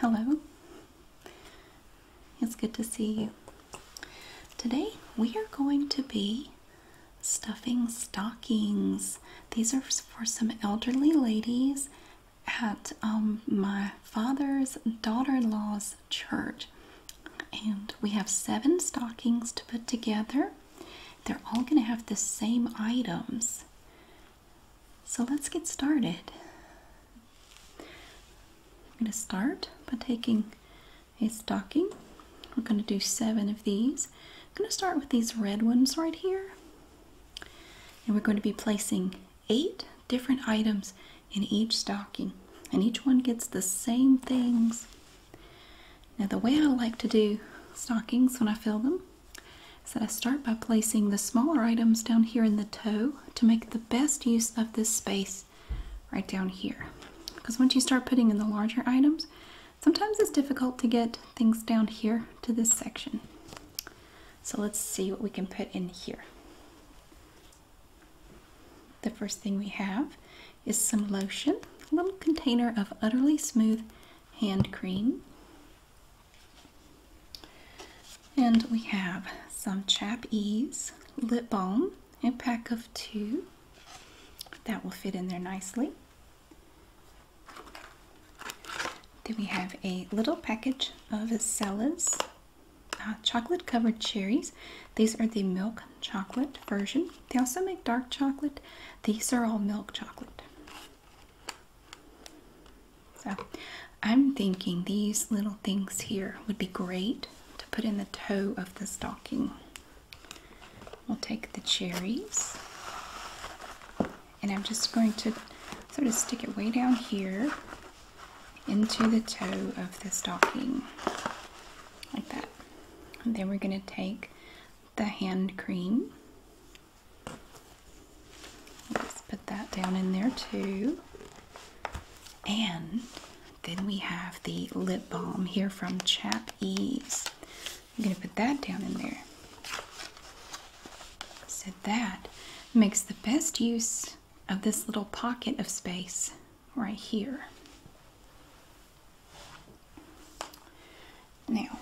Hello. It's good to see you. Today we are going to be stuffing stockings. These are for some elderly ladies at um, my father's daughter-in-law's church. And we have seven stockings to put together. They're all going to have the same items. So let's get started. I'm going to start by taking a stocking. We're going to do seven of these. I'm going to start with these red ones right here. And we're going to be placing eight different items in each stocking. And each one gets the same things. Now the way I like to do stockings when I fill them said I start by placing the smaller items down here in the toe to make the best use of this space right down here. Because once you start putting in the larger items, sometimes it's difficult to get things down here to this section. So let's see what we can put in here. The first thing we have is some lotion, a little container of Utterly Smooth Hand Cream. And we have some Chap Ease lip balm, a pack of two. That will fit in there nicely. Then we have a little package of Sella's uh, chocolate covered cherries. These are the milk chocolate version. They also make dark chocolate. These are all milk chocolate. So I'm thinking these little things here would be great to put in the toe of the stocking. We'll take the cherries and I'm just going to sort of stick it way down here into the toe of the stocking like that. And then we're going to take the hand cream Let's put that down in there too. And then we have the lip balm here from Chap Ease. I'm going to put that down in there. So that makes the best use of this little pocket of space right here. Now,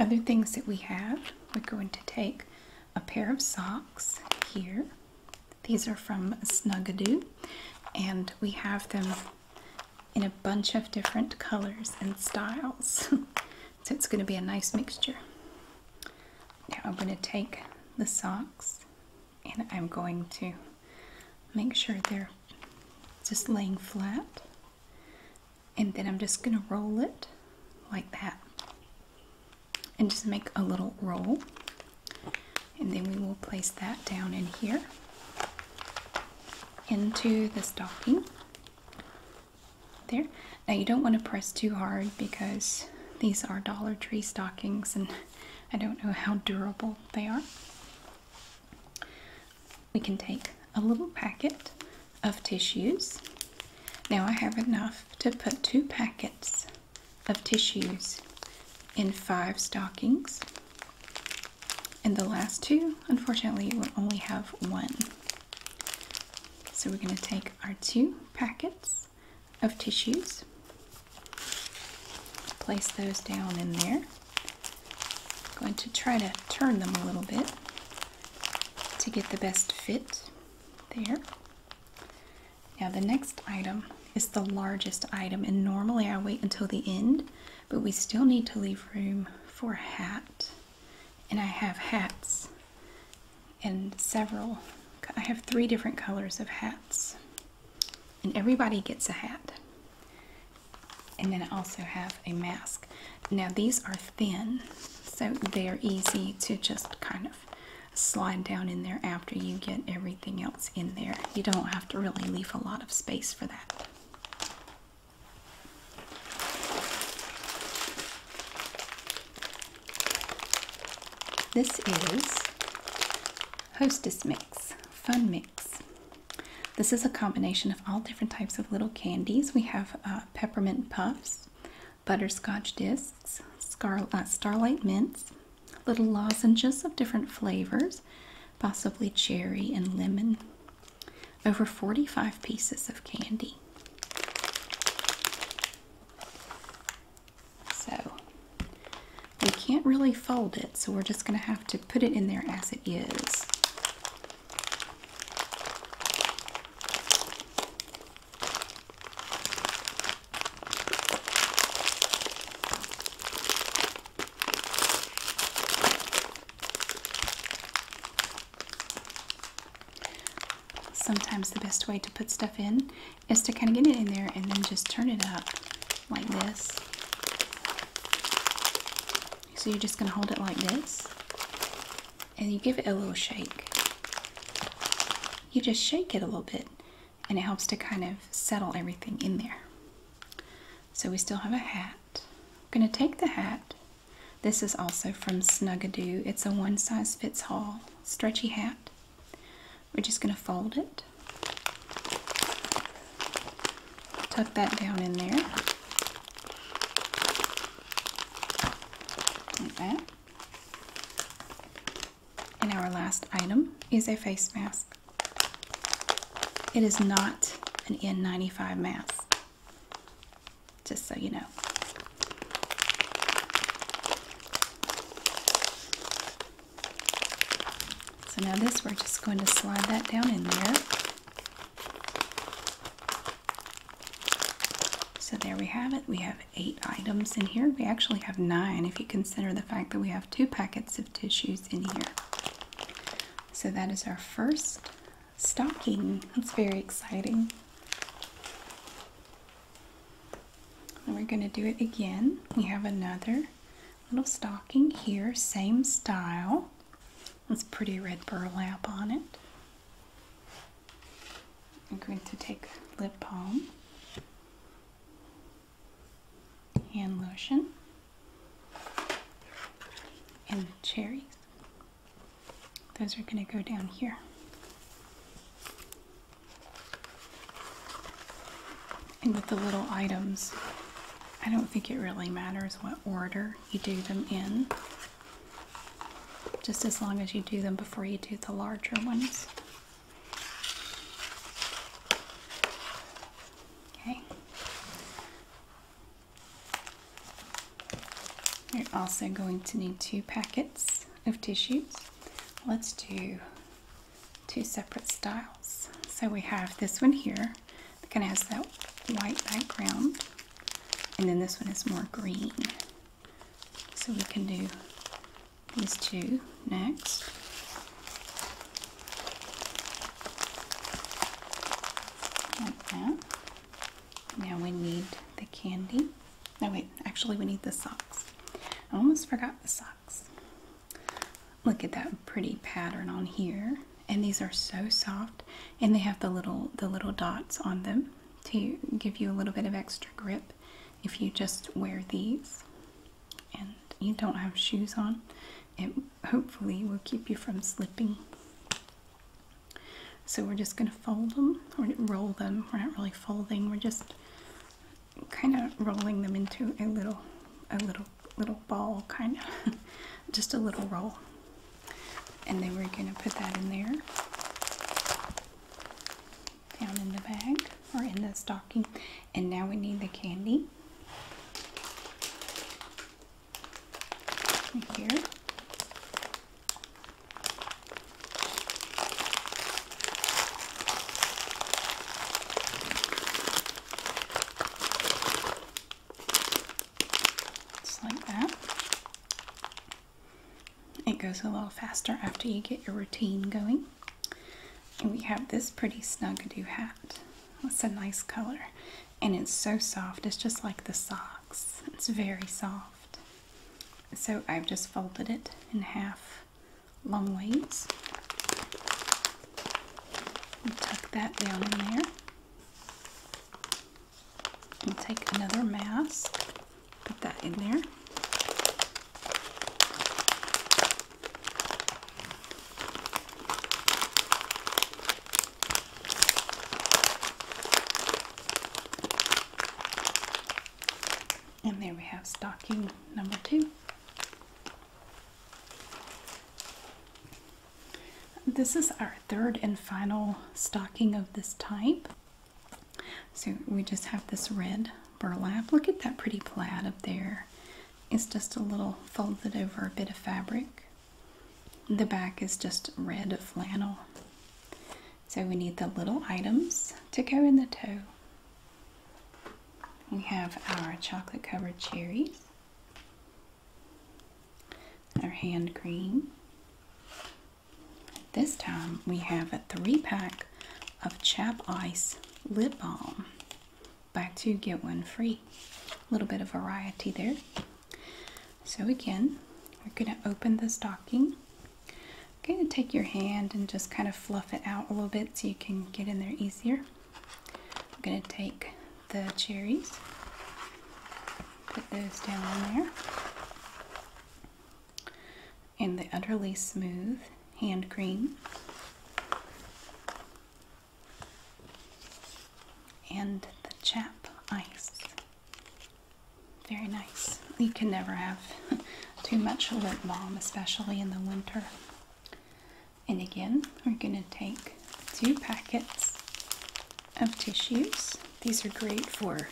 other things that we have, we're going to take a pair of socks here. These are from Snuggadoo, and we have them in a bunch of different colors and styles. so it's going to be a nice mixture. Now I'm going to take the socks and I'm going to make sure they're just laying flat and then I'm just gonna roll it like that and just make a little roll and then we will place that down in here into the stocking there now you don't want to press too hard because these are Dollar Tree stockings and I don't know how durable they are we can take a little packet of tissues. Now I have enough to put two packets of tissues in five stockings. In the last two, unfortunately, we only have one. So we're going to take our two packets of tissues, place those down in there, I'm going to try to turn them a little bit to get the best fit there. Now the next item is the largest item and normally I wait until the end but we still need to leave room for a hat and I have hats and several I have three different colors of hats and everybody gets a hat and then I also have a mask. Now these are thin, so they are easy to just kind of slide down in there after you get everything else in there. You don't have to really leave a lot of space for that. This is Hostess Mix, Fun Mix. This is a combination of all different types of little candies. We have uh, peppermint puffs, butterscotch discs, uh, starlight mints, little lozenges of different flavors, possibly cherry and lemon. Over 45 pieces of candy. So we can't really fold it, so we're just going to have to put it in there as it is. Sometimes the best way to put stuff in is to kind of get it in there and then just turn it up like this. So you're just going to hold it like this and you give it a little shake. You just shake it a little bit and it helps to kind of settle everything in there. So we still have a hat. I'm going to take the hat. This is also from Snugadoo. It's a one size fits all stretchy hat. We're just going to fold it tuck that down in there. Like that. And our last item is a face mask. It is not an N95 mask, just so you know. So now this, we're just going to slide that down in there. So there we have it. We have eight items in here. We actually have nine if you consider the fact that we have two packets of tissues in here. So that is our first stocking. It's very exciting. And we're going to do it again. We have another little stocking here, same style. It's pretty red burlap on it. I'm going to take lip balm hand lotion and the cherries. Those are going to go down here. And with the little items, I don't think it really matters what order you do them in, just as long as you do them before you do the larger ones. Okay. You're also going to need two packets of tissues. Let's do two separate styles. So we have this one here, it kind of has that white background. And then this one is more green. So we can do these two next. Like that. Now we need the candy. No, wait, actually, we need the socks. I almost forgot the socks. Look at that pretty pattern on here and these are so soft and they have the little the little dots on them to give you a little bit of extra grip if you just wear these and you don't have shoes on it hopefully will keep you from slipping so we're just going to fold them or roll them we're not really folding we're just kind of rolling them into a little a little little ball kind of just a little roll and then we're going to put that in there down in the bag or in the stocking and now we need the candy here just like that. It goes a little faster after you get your routine going. And we have this pretty snug-a-doo hat. It's a nice color. And it's so soft. It's just like the socks. It's very soft. So I've just folded it in half longways. And tuck that down in there. And take another mask, put that in there. And there we have stocking number two. This is our third and final stocking of this type. So we just have this red burlap. Look at that pretty plaid up there. It's just a little folded over a bit of fabric. The back is just red flannel. So we need the little items to go in the toe. We have our chocolate covered cherries our hand cream. This time we have a three pack of Chap Ice Lip Balm. Back to get one free. A little bit of variety there. So again, we're going to open the stocking. I'm going to take your hand and just kind of fluff it out a little bit so you can get in there easier. I'm going to take the cherries. Put those down in there. And the Utterly Smooth Hand Cream. And the Chap Ice. Very nice. You can never have too much lip balm, especially in the winter. And again, we're going to take two packets of tissues. These are great for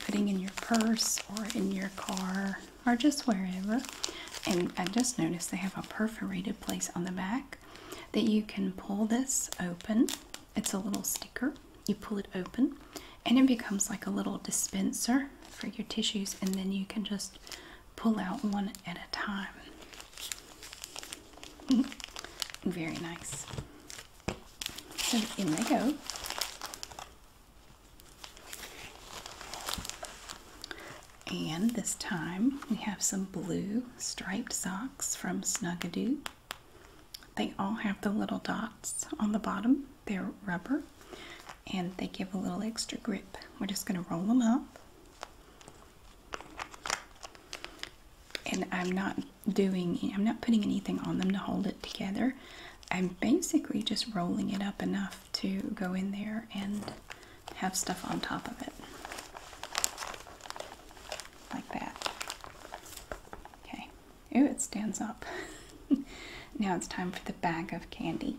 putting in your purse or in your car or just wherever. And I just noticed they have a perforated place on the back that you can pull this open. It's a little sticker. You pull it open and it becomes like a little dispenser for your tissues and then you can just pull out one at a time. Very nice. So in they go. And this time we have some blue striped socks from Snuggadoo. They all have the little dots on the bottom. They're rubber and they give a little extra grip. We're just going to roll them up and I'm not doing I'm not putting anything on them to hold it together. I'm basically just rolling it up enough to go in there and have stuff on top of it. Like that. Okay. Ooh, it stands up. now it's time for the bag of candy.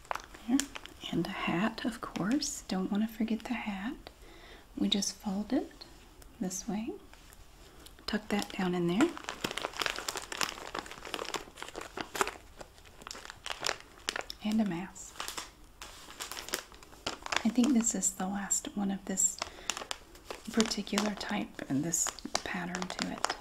And a hat, of course. Don't want to forget the hat. We just fold it this way. Tuck that down in there. And a mask. I think this is the last one of this particular type and this pattern to it.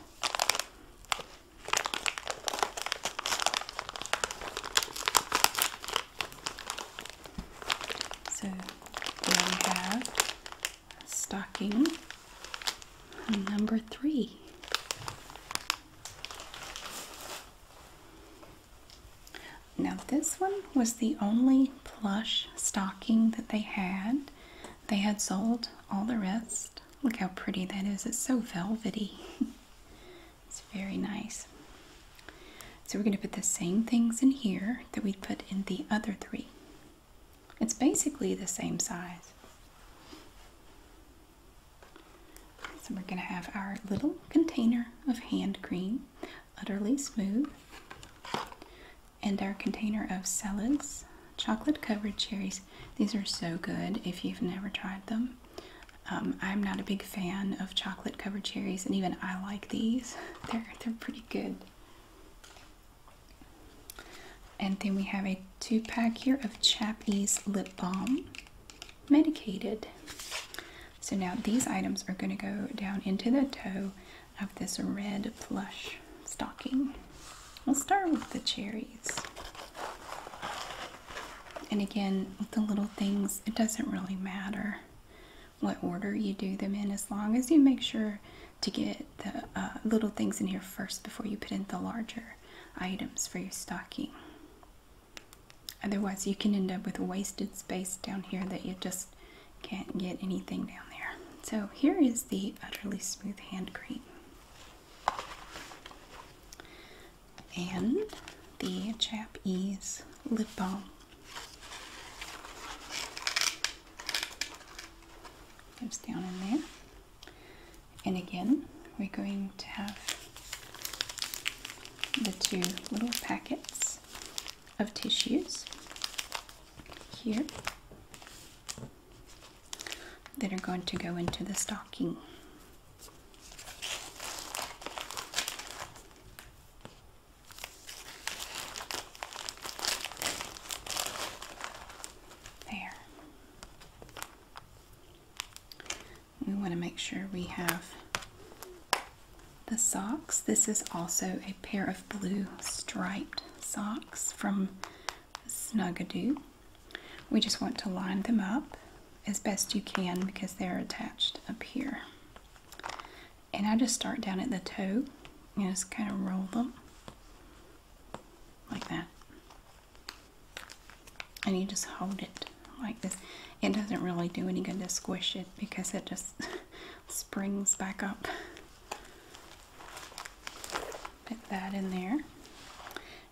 So we have stocking number three. Now, this one was the only plush stocking that they had. They had sold all the rest. Look how pretty that is. It's so velvety. It's very nice. So we're going to put the same things in here that we put in the other three. It's basically the same size. So we're going to have our little container of hand cream, utterly smooth, and our container of salads, chocolate covered cherries. These are so good if you've never tried them. Um, I'm not a big fan of chocolate covered cherries, and even I like these. They're they're pretty good. And then we have a two pack here of Chappies lip balm, medicated. So now these items are going to go down into the toe of this red plush stocking. We'll start with the cherries. And again, with the little things, it doesn't really matter what order you do them in as long as you make sure to get the uh, little things in here first before you put in the larger items for your stocking. Otherwise, you can end up with wasted space down here that you just can't get anything down there. So here is the Utterly Smooth Hand Cream and the Japanese lip balm. Lives down in there. And again, we're going to have the two little packets of tissues here that are going to go into the stocking. There. We want to make sure we have the socks. This is also a pair of blue striped socks from Snuggadoo. We just want to line them up as best you can because they're attached up here. And I just start down at the toe and just kind of roll them like that. And you just hold it like this. It doesn't really do any good to squish it because it just springs back up. Put that in there.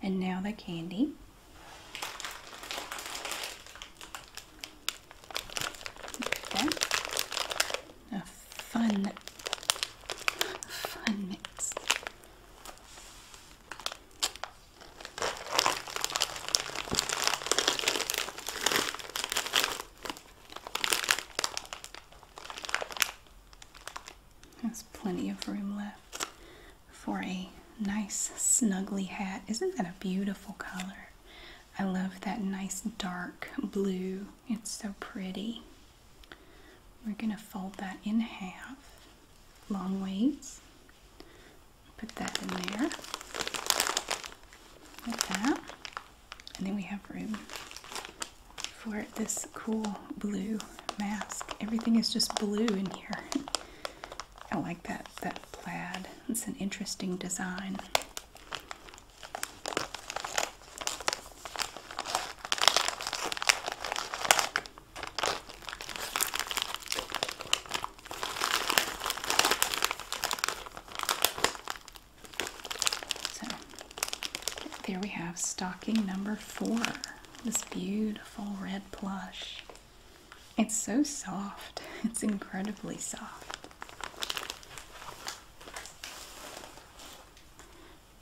And now the candy. Okay. A fun, fun mix. There's plenty of room left for a nice snuggly hat. Isn't that a beautiful color? I love that nice dark blue. It's so pretty. We're going to fold that in half, long ways. Put that in there like that. And then we have room for this cool blue mask. Everything is just blue in here. I like that that plaid. It's an interesting design. So there we have stocking number four. This beautiful red plush. It's so soft. It's incredibly soft.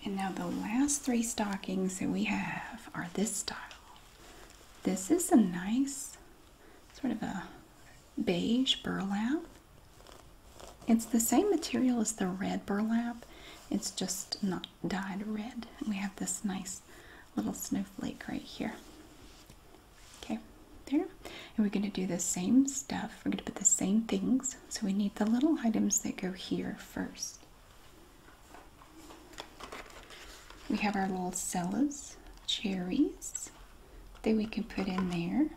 And now the last three stockings that we have are this style. This is a nice sort of a beige burlap. It's the same material as the red burlap. It's just not not dyed red. And we have this nice little snowflake right here. Okay, there. And we're going to do the same stuff. We're going to put the same things. So we need the little items that go here first. We have our little cellas, cherries that we can put in there.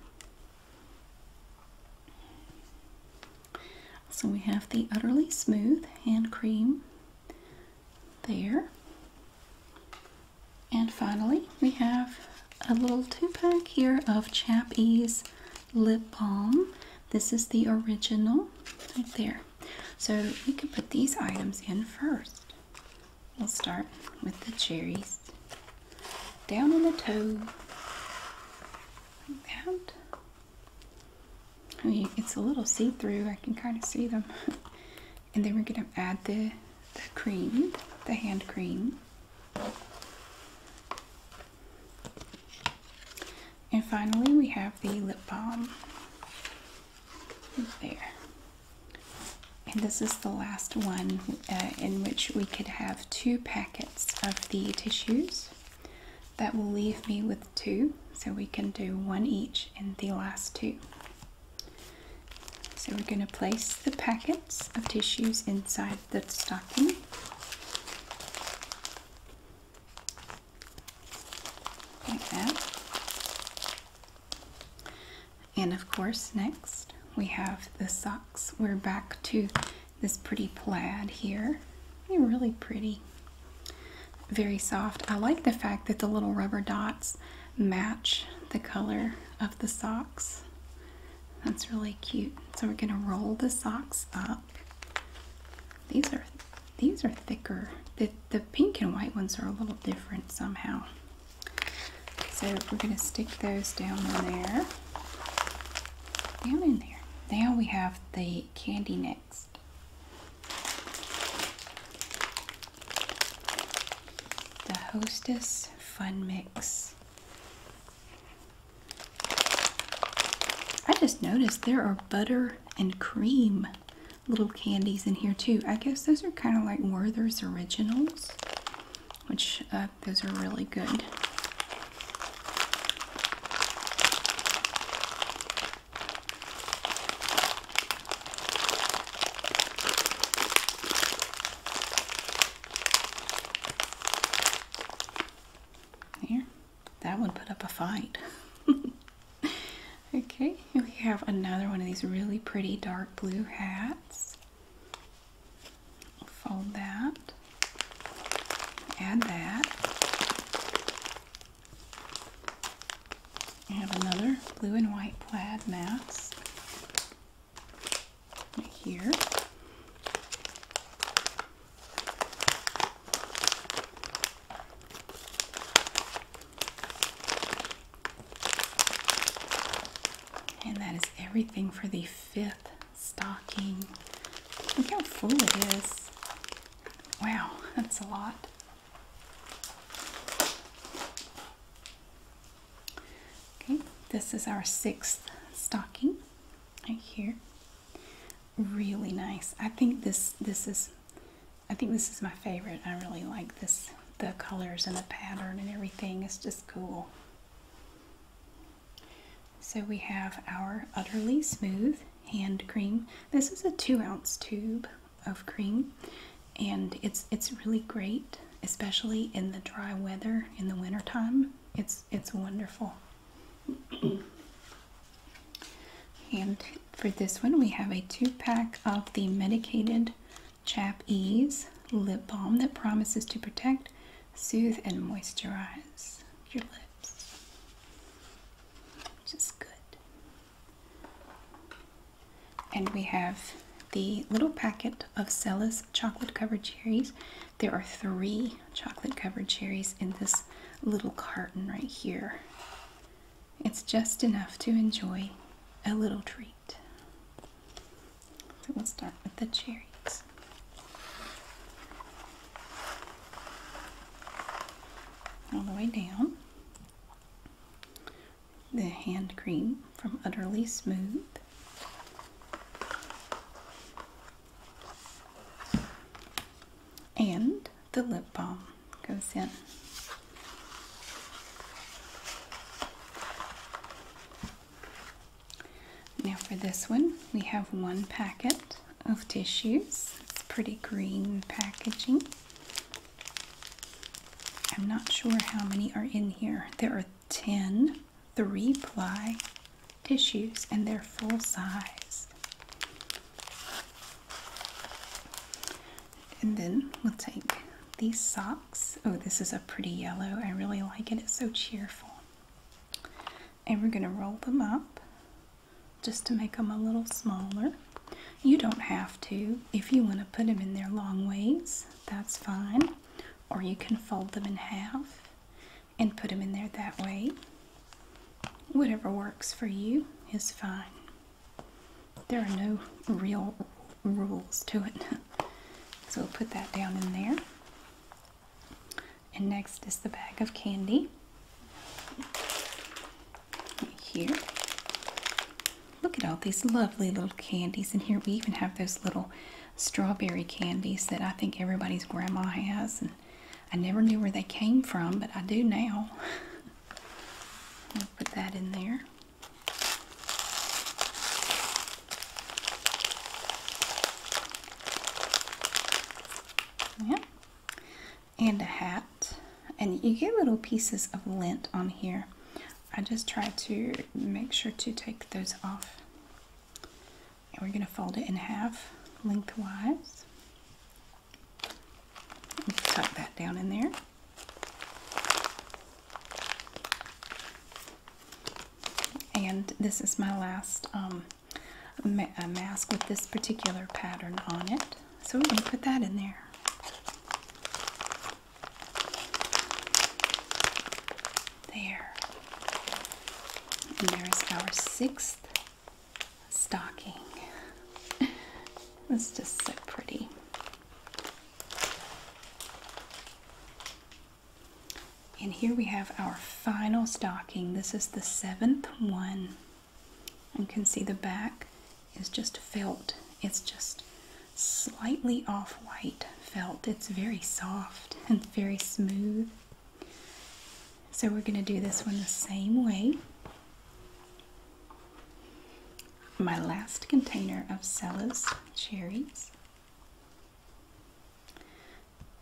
So we have the Utterly Smooth Hand Cream there. And finally, we have a little two pack here of Chappies Lip Balm. This is the original right there. So we can put these items in first. We'll start with the cherries. Down on the toe. Like it's a little see-through. I can kind of see them. and then we're going to add the, cream, the hand cream. And finally, we have the lip balm. There. And this is the last one uh, in which we could have two packets of the tissues. That will leave me with two, so we can do one each in the last two. So we're going to place the packets of tissues inside the stocking. Like that. And of course, next we have the socks. We're back to this pretty plaid here. They're really pretty. Very soft. I like the fact that the little rubber dots match the color of the socks. That's really cute. So we're gonna roll the socks up. These are these are thicker. The, the pink and white ones are a little different somehow. So we're gonna stick those down in there. Down in there. Now we have the candy necks. The Hostess Fun Mix. I just noticed there are butter and cream little candies in here too. I guess those are kind of like Werther's Originals, which uh, those are really good. There, that one put up a fight. okay, we have another one of these really pretty dark blue hats. fold that. Add that. I have another blue and white plaid mask right here. And that is everything for the fifth stocking. Look how full it is. Wow, that's a lot. Okay, this is our sixth stocking right here. Really nice. I think this this is I think this is my favorite. I really like this the colors and the pattern and everything. It's just cool. So we have our Utterly Smooth hand cream. This is a two ounce tube of cream and it's it's really great, especially in the dry weather in the wintertime. It's it's wonderful. and for this one we have a two pack of the medicated Chap Ease lip balm that promises to protect, soothe, and moisturize your lips which is good. And we have the little packet of Cella's chocolate covered cherries. There are three chocolate covered cherries in this little carton right here. It's just enough to enjoy a little treat. So we'll start with the cherries all the way down. The hand cream from Utterly Smooth. And the lip balm goes in. Now for this one, we have one packet of tissues. It's pretty green packaging. I'm not sure how many are in here. There are 10 three ply tissues and they're full size. And then we'll take these socks. Oh, this is a pretty yellow. I really like it. It's so cheerful. And we're going to roll them up just to make them a little smaller. You don't have to. If you want to put them in their long ways, that's fine. Or you can fold them in half and put them in there that way. Whatever works for you is fine. There are no real rules to it. So we'll put that down in there. And next is the bag of candy. here. Look at all these lovely little candies. And here we even have those little strawberry candies that I think everybody's grandma has. And I never knew where they came from, but I do now. put that in there. Yeah. And a hat. And you get little pieces of lint on here. I just try to make sure to take those off. And we're going to fold it in half lengthwise. tuck that down in there. And this is my last um, a, mask with this particular pattern on it. So we're going to put that in there. There. And there's our sixth stocking. it's just so pretty. And here we have our final stocking. This is the seventh one. You can see the back is just felt. It's just slightly off-white felt. It's very soft and very smooth. So we're going to do this one the same way. My last container of Cella's cherries.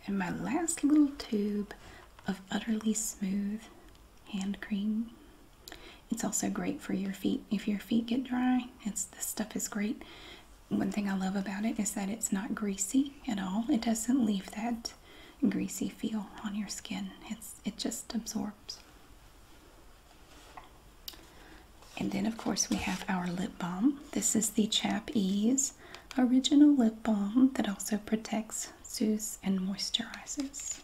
And my last little tube of Utterly Smooth Hand Cream. It's also great for your feet. If your feet get dry, it's this stuff is great. One thing I love about it is that it's not greasy at all. It doesn't leave that greasy feel on your skin. It's it just absorbs. And then of course we have our lip balm. This is the Chap Ease original lip balm that also protects, soothes, and moisturizes.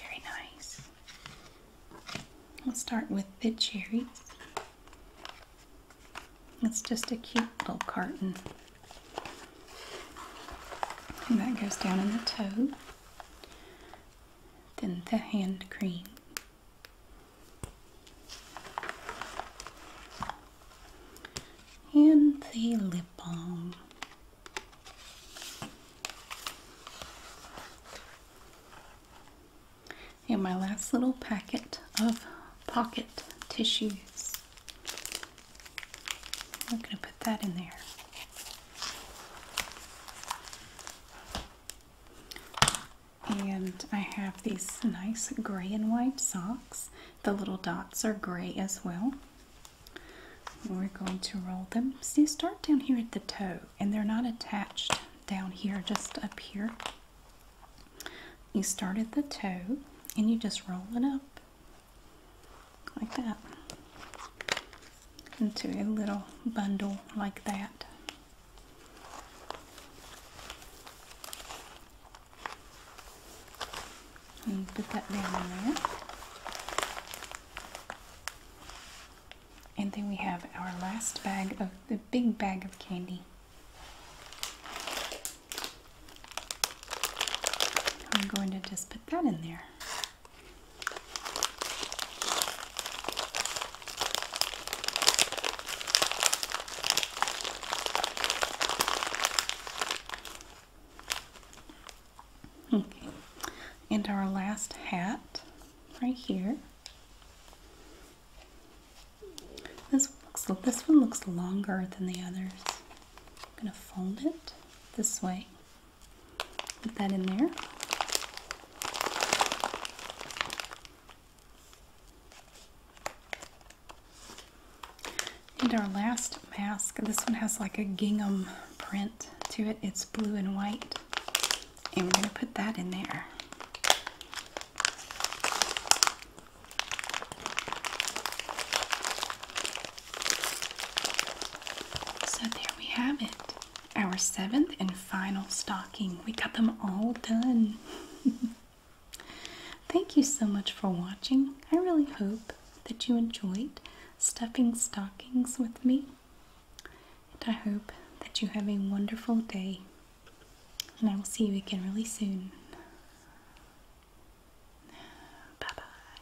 Very nice. We'll start with the cherries. It's just a cute little carton. And that goes down in the toe. Then the hand cream and the lip balm. And my last little packet of pocket tissues. I'm going to put that in there. And I have these nice gray and white socks. The little dots are gray as well. We're going to roll them. See, start down here at the toe, and they're not attached down here, just up here. You start at the toe, and you just roll it up like that into a little bundle like that. And put that down there. And then we have our last bag of the big bag of candy. I'm going to just put that in there. Okay, and our last hat right here. This looks this one looks longer than the others. I'm gonna fold it this way. Put that in there. And our last mask, this one has like a gingham print to it. It's blue and white. And we're going to put that in there. So there we have it. Our seventh and final stocking. We got them all done. Thank you so much for watching. I really hope that you enjoyed stuffing stockings with me. And I hope that you have a wonderful day. And I will see you again really soon. Bye bye.